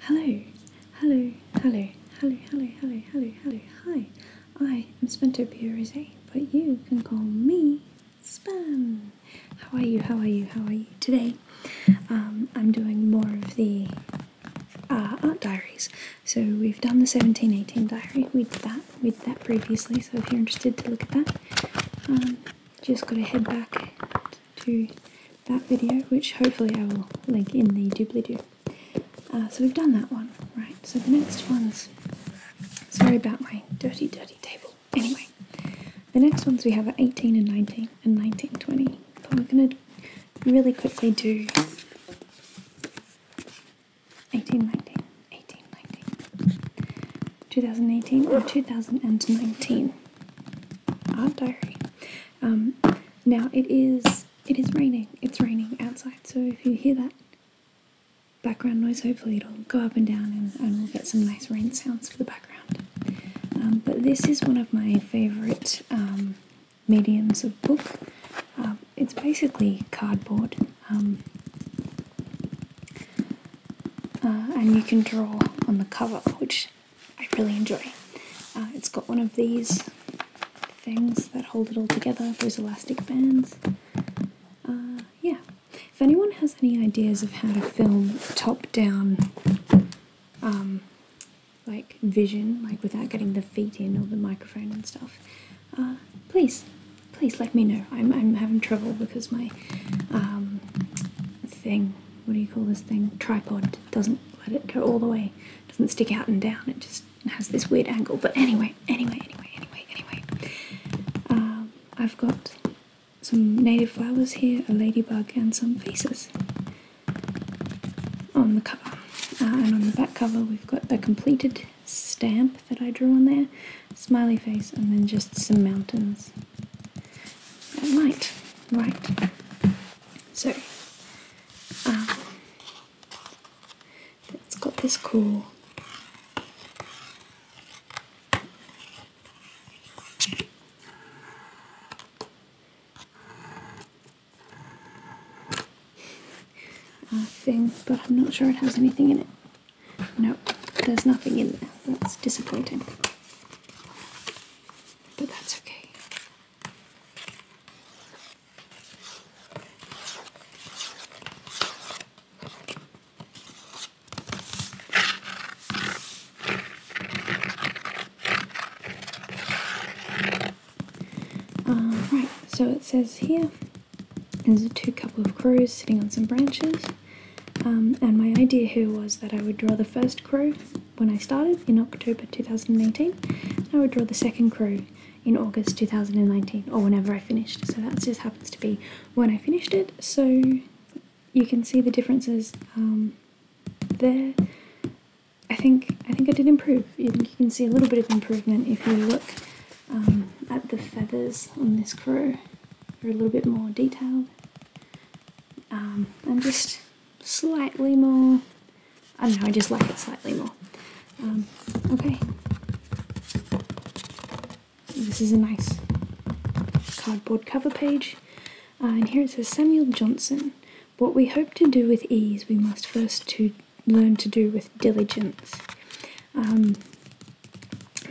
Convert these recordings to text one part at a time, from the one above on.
Hello, hello, hello, hello, hello, hello, hello, hello, hi. I am Spentopia Rosé, but you can call me Spam. How are you? How are you? How are you today? Um, I'm doing more of the uh, art diaries. So we've done the 1718 diary. We did that. We did that previously. So if you're interested to look at that, um, just gotta head back to that video, which hopefully I will link in the doobly-doo. Uh, so we've done that one, right? So the next one's... Sorry about my dirty, dirty table. Anyway, the next ones we have are 18 and 19 and 19, 20. But we're going to really quickly do 18, 19, 2018 or 2019 odd diary. Um, now it is it is raining. It's raining outside, so if you hear that background noise, hopefully it'll go up and down, and, we'll get some nice rain sounds for the background. Um, but this is one of my favourite um, mediums of book. it's basically cardboard. Uh, and you can draw on the cover, which I really enjoy. Uh, it's got one of these things that hold it all together, those elastic bands. Uh, yeah. If anyone has any ideas of how to film top-down, um, like vision, like without getting the feet in or the microphone and stuff, uh, please, please let me know. I'm I'm having trouble because my um, thing. What do you call this thing? Tripod doesn't let it go all the way. Doesn't stick out and down. It just has this weird angle. But anyway, anyway, anyway, anyway, anyway. Um, I've got some native flowers here, a ladybug, and some faces on the cover. Uh, and on the back cover, we've got the completed stamp that I drew on there, smiley face, and then just some mountains. Right, right. So, um, it's got this cool. thing, but I'm not sure it has anything in it. No, there's nothing in there. That's disappointing but that's okay. right, so it says here there's a two couple of crows sitting on some branches, um, and my idea here was that I would draw the first crow when I started in October 2018, I would draw the second crow in August 2019 or whenever I finished. So that just happens to be when I finished it. So you can see the differences um, there. I think I think I did improve. You, can see a little bit of improvement if you look um, at the feathers on this crow. They're a little bit more detailed um, I'm just slightly more I don't know I just like it slightly more um, okay this is a nice cardboard cover page uh, and here it says Samuel Johnson what we hope to do with ease we must first to learn to do with diligence um,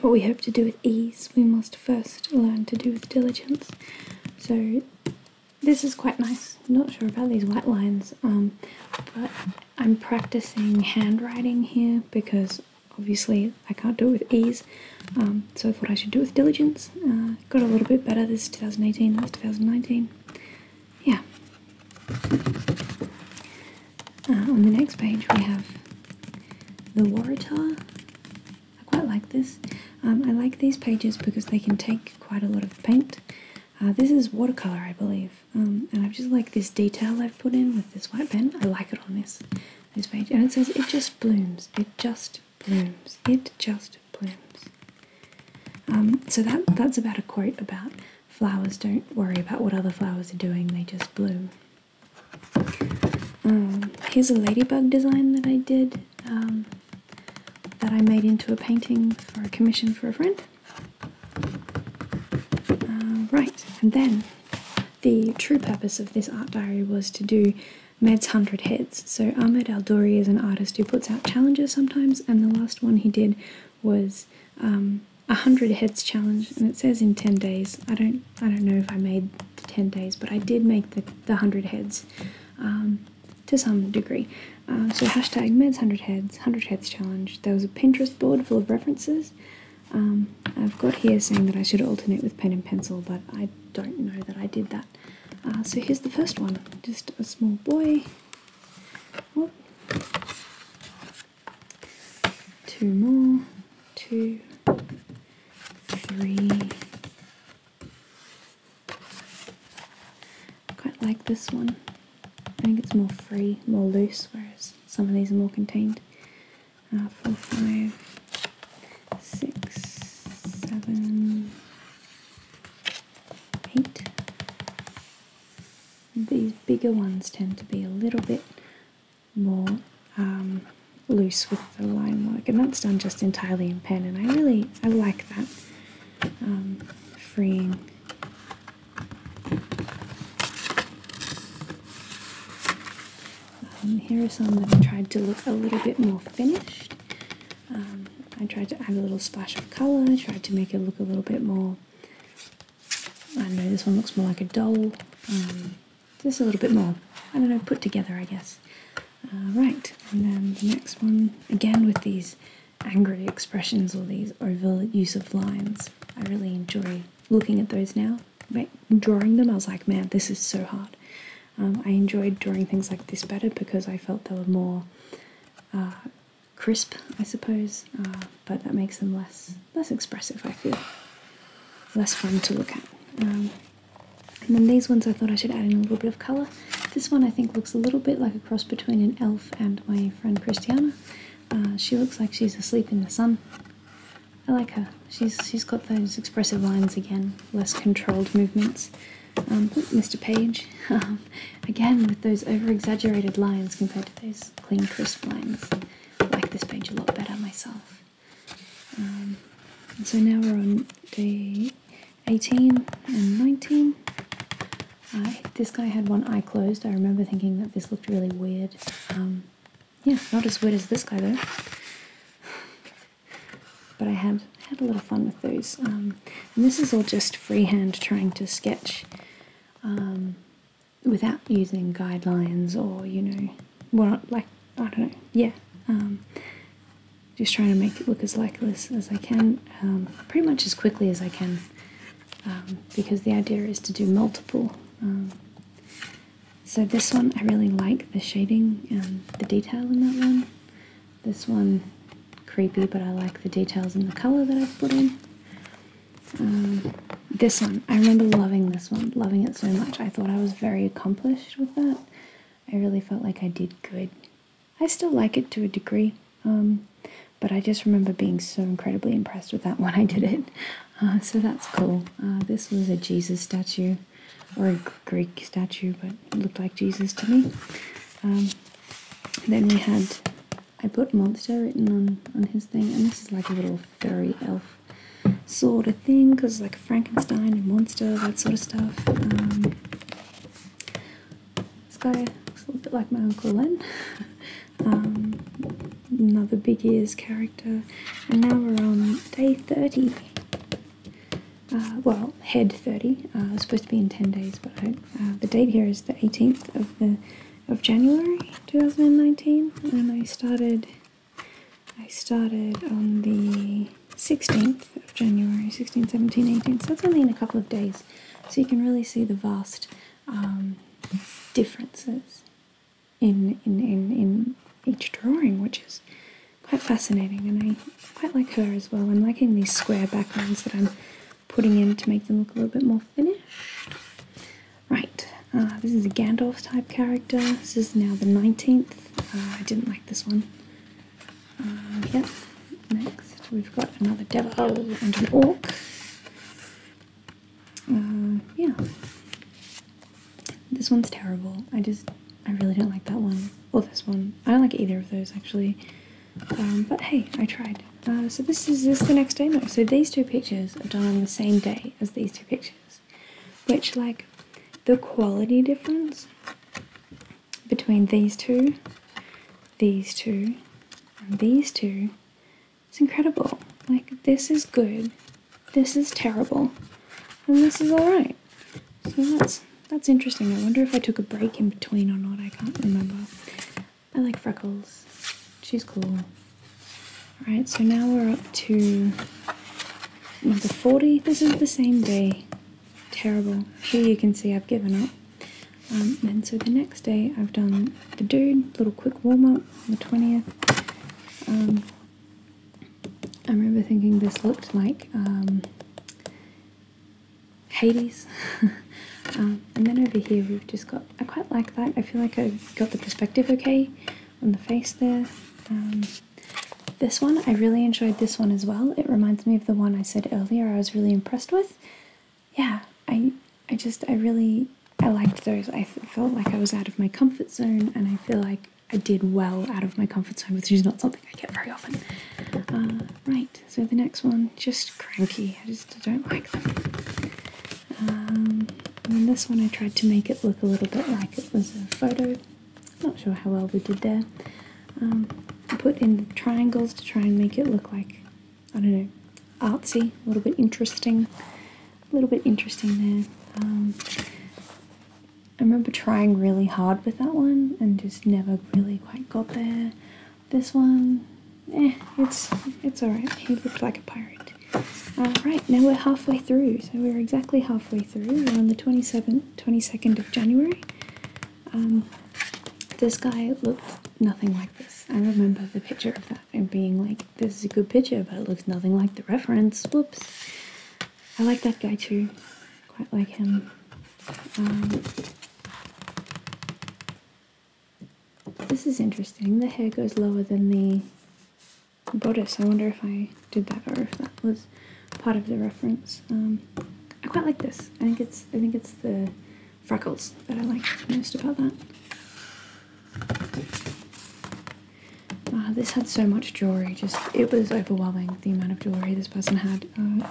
what we hope to do with ease we must first learn to do with diligence. So this is quite nice. not sure about these white lines, um, but I'm practicing handwriting here because obviously I can't do it with ease. Um, so I thought I should do with diligence. Uh, got a little bit better. This is 2018. That's 2019. Yeah. Uh, on the next page we have the Waratah I quite like this. Um, I like these pages because they can take quite a lot of paint. Uh, this is watercolour, I believe, um, and I just like this detail I've put in with this white pen. I like it on this this page, and it says it just blooms. It just blooms. It just blooms. Um, so that that's about a quote about flowers. Don't worry about what other flowers are doing. They just bloom. here's a ladybug design that I did. Um, that I made into a painting for a commission for a friend. Uh, right, and then the true purpose of this art diary was to do Med's Hundred Heads. So Ahmed Al Douri is an artist who puts out challenges sometimes, and the last one he did was um, a hundred heads challenge, and it says in ten days. I don't I don't know if I made the 10 days, but I did make the, the 100 heads um, to some degree. Uh, so hashtag meds 100 heads, 100 heads challenge. There was a Pinterest board full of references. Um, I've got here saying that I should alternate with pen and pencil, but I don't know that I did that. Uh, so here's the first one, just a small boy. Oh. Two more, two, three, I quite like this one. I think it's more free, more loose, whereas some of these are more contained. Uh, four, five, six, seven, eight. These bigger ones tend to be a little bit more um, loose with the line work and that's done just entirely in pen and I really I like that um, freeing um, here are some that I tried to look a little bit more finished um, I tried to add a little splash of colour I tried to make it look a little bit more I know this one looks more like a doll just a little bit more. I don't know, put together, I guess. Uh, right, and then the next one, again with these angry expressions or these overuse of lines. I really enjoy looking at those now. But drawing them, I was like, man, this is so hard. Um, I enjoyed drawing things like this better because I felt they were more uh, crisp, I suppose, uh, but that makes them less less expressive, I feel. Less fun to look at. Um, and then these ones I thought I should add in a little bit of colour. This one I think looks a little bit like a cross between an elf and my friend Christiana. Uh, she looks like she's asleep in the sun. I like her. She's she's got those expressive lines again, less controlled movements. Mr. Um, page, um, again with those over-exaggerated lines compared to those clean, crisp lines. I like this page a lot better myself. Um, so now we're on day 18 and 19. Uh, this guy had one eye closed. I remember thinking that this looked really weird. Um, yeah, not as weird as this guy though. But I had had a lot of fun with those. Um, and this is all just freehand trying to sketch without using guidelines or, you know, well, like, I don't know, yeah. Um, just trying to make it look as likeless as I can, um, pretty much as quickly as I can, um, because the idea is to do multiple. so this one, I really like the shading and the detail in that one. This one, creepy, but I like the details and the color that I've put in. this one, I remember loving this one, loving it so much. I thought I was very accomplished with that. I really felt like I did good. I still like it to a degree, um, but I just remember being so incredibly impressed with that when I did it. Uh, so that's cool. Uh, this was a Jesus statue, or a Greek statue, but looked like Jesus to me. Um, then we had, I put monster written on, on his thing, and this is like a little furry elf sort of thing because like Frankenstein and Monster, that sort of stuff. Um, this guy looks a little bit like my Uncle Len. Um, another big ears character. And now we're on day 30. Uh, well, head 30. Uh, was supposed to be in 10 days, but uh, the date here is the 18th of the of January 2019, and I started I started on the 16th of January, 16, 17, 18, so it's only in a couple of days. So you can really see the vast um, differences in, in, in, each drawing, which is quite fascinating. And I quite like her as well. I'm liking these square backgrounds that I'm putting in to make them look a little bit more finished. Right, uh, this is a Gandalf type character. This is now the 19th uh, I didn't like this one. Uh, yep. Next, we've got another devil and an orc. Uh, yeah. This one's terrible. I just, I really don't like that one. Or this one. I don't like either of those actually. Um, but hey, I tried. Uh, so this is this the next day? No. So these two pictures are done on the same day as these two pictures which like the quality difference between these two, these two, and these two, is incredible. Like this is good, this is terrible, and this is alright. So that's that's interesting. I wonder if I took a break in between or not, I can't remember. I like freckles. She's cool. Alright, so now we're up to Number 40, this is the same day. Terrible. Here you can see I've given up. Um, and so the next day I've done the dude, little quick warm up on the 20th. Um, I remember thinking this looked like um, Hades. Um, and then over here we've just got, I quite like that. I feel like I have got the perspective okay on the face there. This one, I really enjoyed this one as well. It reminds me of the one I said earlier I was really impressed with. Yeah, I I just I really I liked those. I felt like I was out of my comfort zone and I feel like I did well out of my comfort zone, which is not something I get very often. Uh, right, so the next one, just cranky. I just don't like them. Um, and this one I tried to make it look a little bit like it was a photo not sure how well we did there. I um, put in the triangles to try and make it look like, I don't know, artsy, a little bit interesting. A little bit interesting there. Um, I remember trying really hard with that one and just never really quite got there. This one, eh, it's, it's alright. He looked like a pirate. Alright, now we're halfway through, so we're exactly halfway through around the 22nd of January. Um, this guy looked nothing like this. I remember the picture of that and being like, this is a good picture, but it looks nothing like the reference. Whoops. I like that guy too. Quite like him. Um, this is interesting. The hair goes lower than the bodice. I wonder if I did that or if that was part of the reference. Um, I quite like this. I think it's I think it's the freckles that I like most about that. Uh, this had so much jewelry, just it was overwhelming the amount of jewelry this person had. Uh,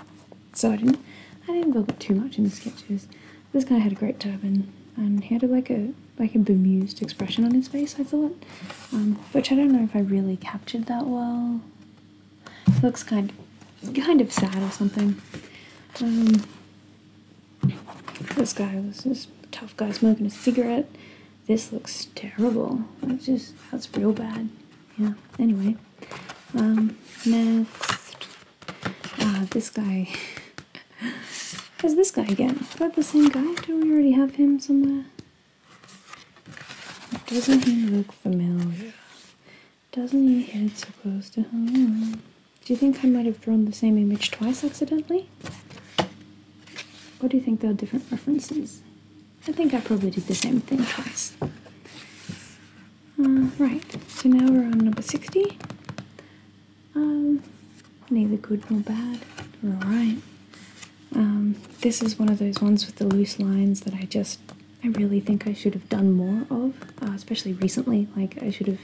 so I didn't I didn't build too much in the sketches. This guy had a great turban and he had like a like a bemused expression on his face. I thought um, which I don't know if I really captured that well. looks kind of, kind of sad or something. Um, this guy was this tough guy smoking a cigarette. This looks terrible. That's just that's real bad. Yeah. Anyway, um, next, Ah, this guy. Is this guy again? Is that the same guy? Don't we already have him somewhere? Doesn't he look familiar? Doesn't he your head supposed to hang on? Do you think I might have drawn the same image twice accidentally? What do you think there are different references? I think I probably did the same thing twice. Uh, right, so now we're on number 60. Um, neither good nor bad, alright. Um, this is one of those ones with the loose lines that I just I really think I should have done more of, uh, especially recently. Like I should have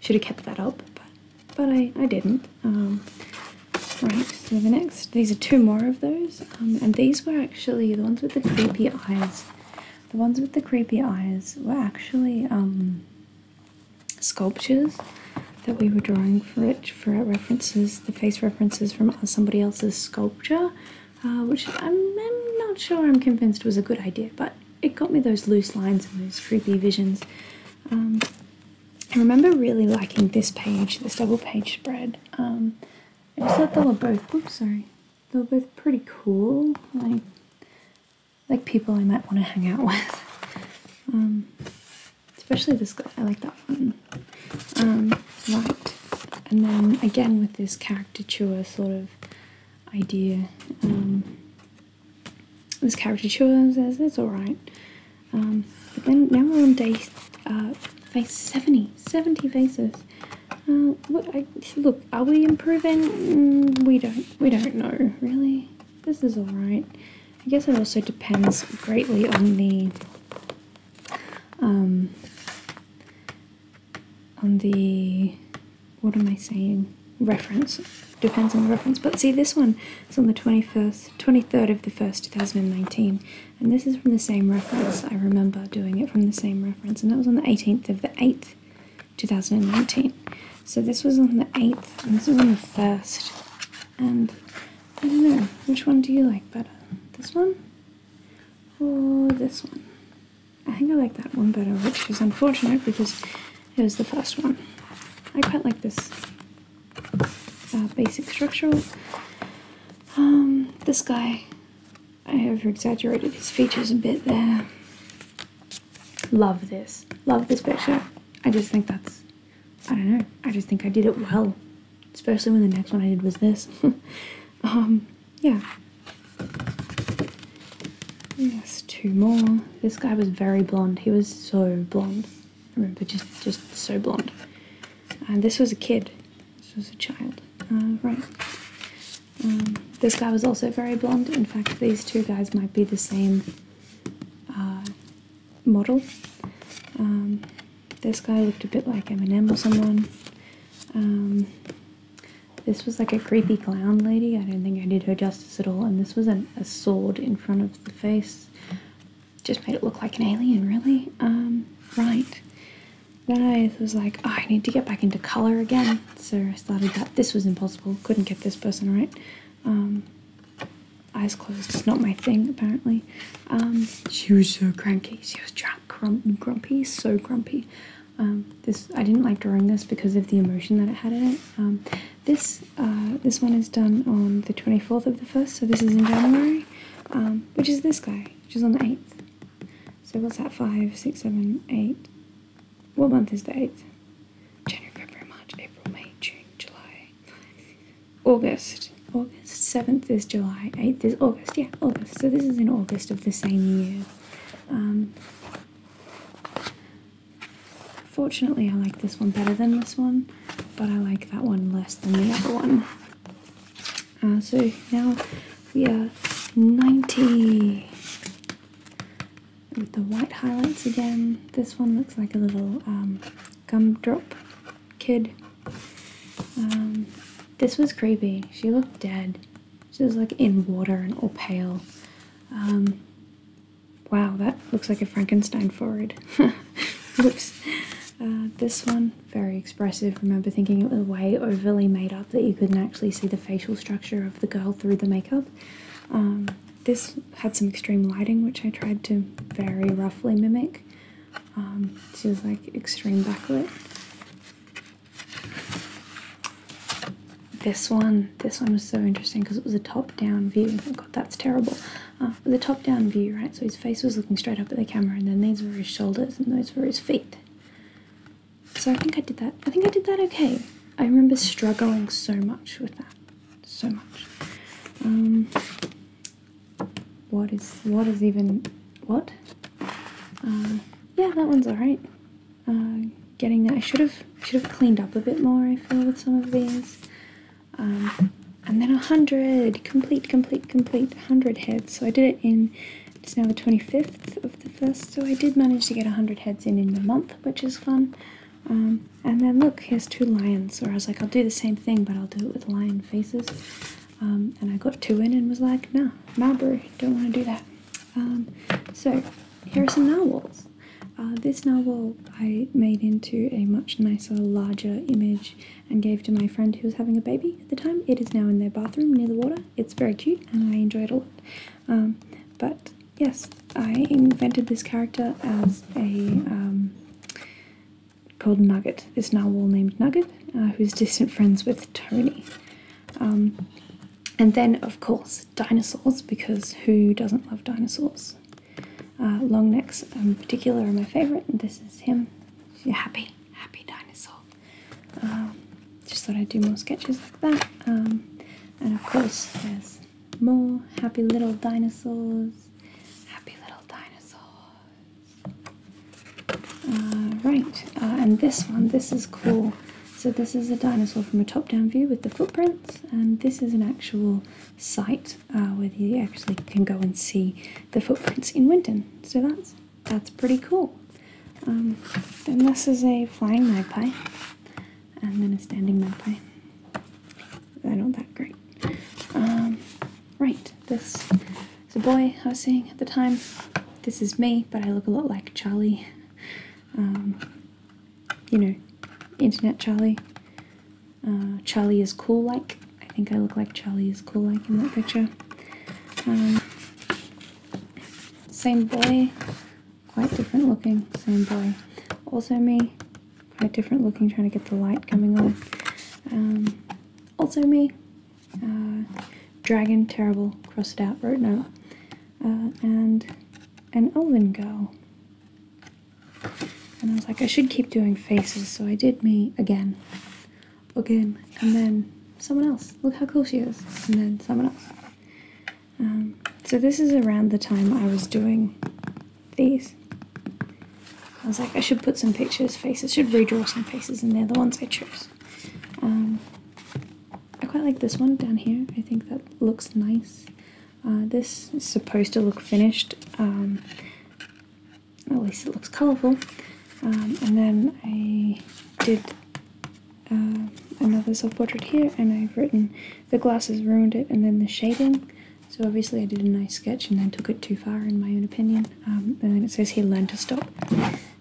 should have kept that up, but but I I didn't. Um, right. So the next, these are two more of those, um, and these were actually the ones with the creepy eyes. The ones with the creepy eyes were actually um, sculptures that we were drawing for it for references, the face references from somebody else's sculpture, uh, which I'm, not sure I'm convinced was a good idea, but it got me those loose lines and those creepy visions. Um, I remember really liking this page, this double page spread. Um, I just thought they were both, oops, sorry, they were both pretty cool, like, like people I might want to hang out with. Um, especially this guy. I like that one. right, um, and then again with this caricature sort of idea. Um, this caricature says it's all right, um, but then now we're on day uh, face 70, 70 faces. Uh, look, are we improving? Mm, we don't, we don't know, really. This is all right. I guess it also depends greatly on the um, on the what am I saying reference depends on the reference but see this one is on the 21st 23rd of the 1st 2019 and this is from the same reference I remember doing it from the same reference and that was on the 18th of the 8th 2019 so this was on the 8th and this was on the 1st and I don't know, which one do you like better? This one? Or this one? I think I like that one better, which is unfortunate because it was the first one. I quite like this uh, basic structural. Um, this guy, I over exaggerated his features a bit there. Love this. Love this picture. I just think that's I don't know. I just think I did it well, especially when the next one I did was this. um, yeah. Yes, two more. This guy was very blonde. He was so blonde. I remember, just just so blonde. And this was a kid. This was a child. Uh, right. Um, this guy was also very blonde. In fact, these two guys might be the same uh, model. Um, this guy looked a bit like Eminem or someone. Um, this was like a creepy clown lady. I don't think I did her justice at all. And this was an, a sword in front of the face. Just made it look like an alien, really. Um, right. Then I was like, oh, I need to get back into color again. So I started that. This was impossible. Couldn't get this person right. Um, eyes closed is not my thing, apparently. Um, she was so cranky. She was drunk, grum grumpy, so grumpy. Um, this I didn't like drawing this because of the emotion that it had in it. this uh, this one is done on the 24th of the first, so this is in January, which is this guy, which is on the 8th. So what's that? Five, six, seven, eight. What month is the 8th? January, February, March, April, May, June, July, August. August 7th is July, 8th is August. Yeah, August. So this is in August of the same year. Um, fortunately, I like this one better than this one, but I like that one less than the other one. Uh, so now we are 90 with the white highlights again. This one looks like a little um, gumdrop kid. Um, this was creepy. She looked dead. She was like in water and all pale. Um, wow, that looks like a Frankenstein forehead. Whoops. Uh, this one, very expressive. Remember thinking it was way overly made up that you couldn't actually see the facial structure of the girl through the makeup. Um, this had some extreme lighting, which I tried to very roughly mimic. Um, this is like extreme backlit. This one, this one was so interesting because it was a top-down view. Oh God, that's terrible. Uh, the top-down view, right? So his face was looking straight up at the camera, and then these were his shoulders, and those were his feet. So I think I did that. I think I did that okay. I remember struggling so much with that, so much. Um, what is what is even what? Uh, yeah, that one's alright. Uh, getting that I should have should have cleaned up a bit more. I feel with some of these. Um, and then a hundred complete, complete, complete hundred heads. So I did it in it's now the 25th of the first, so I did manage to get 100 heads in in the month, which is fun. Um, and then look, here's two lions. Or I was like, I'll do the same thing, but I'll do it with lion faces. Um, and I got two in and was like, no, nah, don't want to do that. Um, so here are some narwhals. Uh, this narwhal I made into a much nicer, larger image and gave to my friend who was having a baby at the time. It is now in their bathroom near the water. It's very cute and I enjoy it a lot. but yes, I invented this character as a called Nugget, this narwhal named Nugget, uh, who's distant friends with Tony. Um, and then, of course, dinosaurs, because who doesn't love dinosaurs? Uh, long necks in um, particular are my favourite, and this is him. She's happy, happy dinosaur. Um, just thought I'd do more sketches like that. and of course, there's more happy little dinosaurs. Happy little dinosaurs. right, uh, and this one, this is cool. So this is a dinosaur from a top-down view with the footprints, and this is an actual site uh, where you actually can go and see the footprints in Winton. So that's that's pretty cool. Um, and this is a flying magpie, and then a standing magpie. I that great. Um, right, this is a boy I was saying at the time. This is me, but I look a lot like Charlie. Um, you know, Internet Charlie. Uh, Charlie is cool like. I think I look like Charlie is cool like in that picture. Um, same boy, quite different looking, same boy. Also me, quite different looking, trying to get the light coming on. Um, also me, uh, dragon, terrible, crossed out, road no, uh, and an elven girl. And I was like, I should keep doing faces, so I did me again, again, and then someone else. Look how cool she is, and then someone else. Um, so this is around the time I was doing these. I was like, I should put some pictures, faces, should redraw some faces in there, the ones I chose. Um, I quite like this one down here, I think that looks nice. Uh, this is supposed to look finished, um, at least it looks colourful. Um, and then I did uh, another self-portrait here, and I've written the glasses ruined it, and then the shading. So obviously I did a nice sketch and then took it too far in my own opinion. Um, and then it says here learn to stop.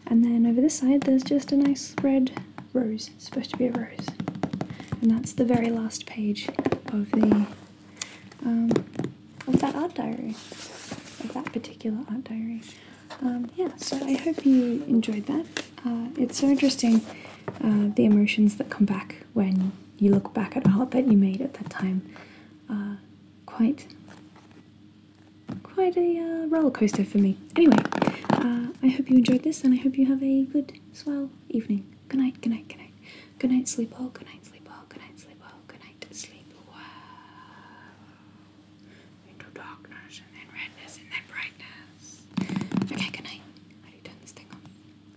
And then over this side there's just a nice red rose. supposed to be a rose. And that's the very last page of the um, of that art diary. Of that particular art diary. Um, yeah, so I hope you enjoyed that. Uh, it's so interesting uh, the emotions that come back when you look back at art that you made at that time, uh, quite quite a uh, roller coaster for me. Anyway, uh, I hope you enjoyed this, and I hope you have a good, swell evening. Good night, good night, good night, good night, sleep well, good night, sleep well, good night, sleep well, good night, sleep well. Into darkness, and then redness, and then brightness. Okay, good night. How do you turn this thing off?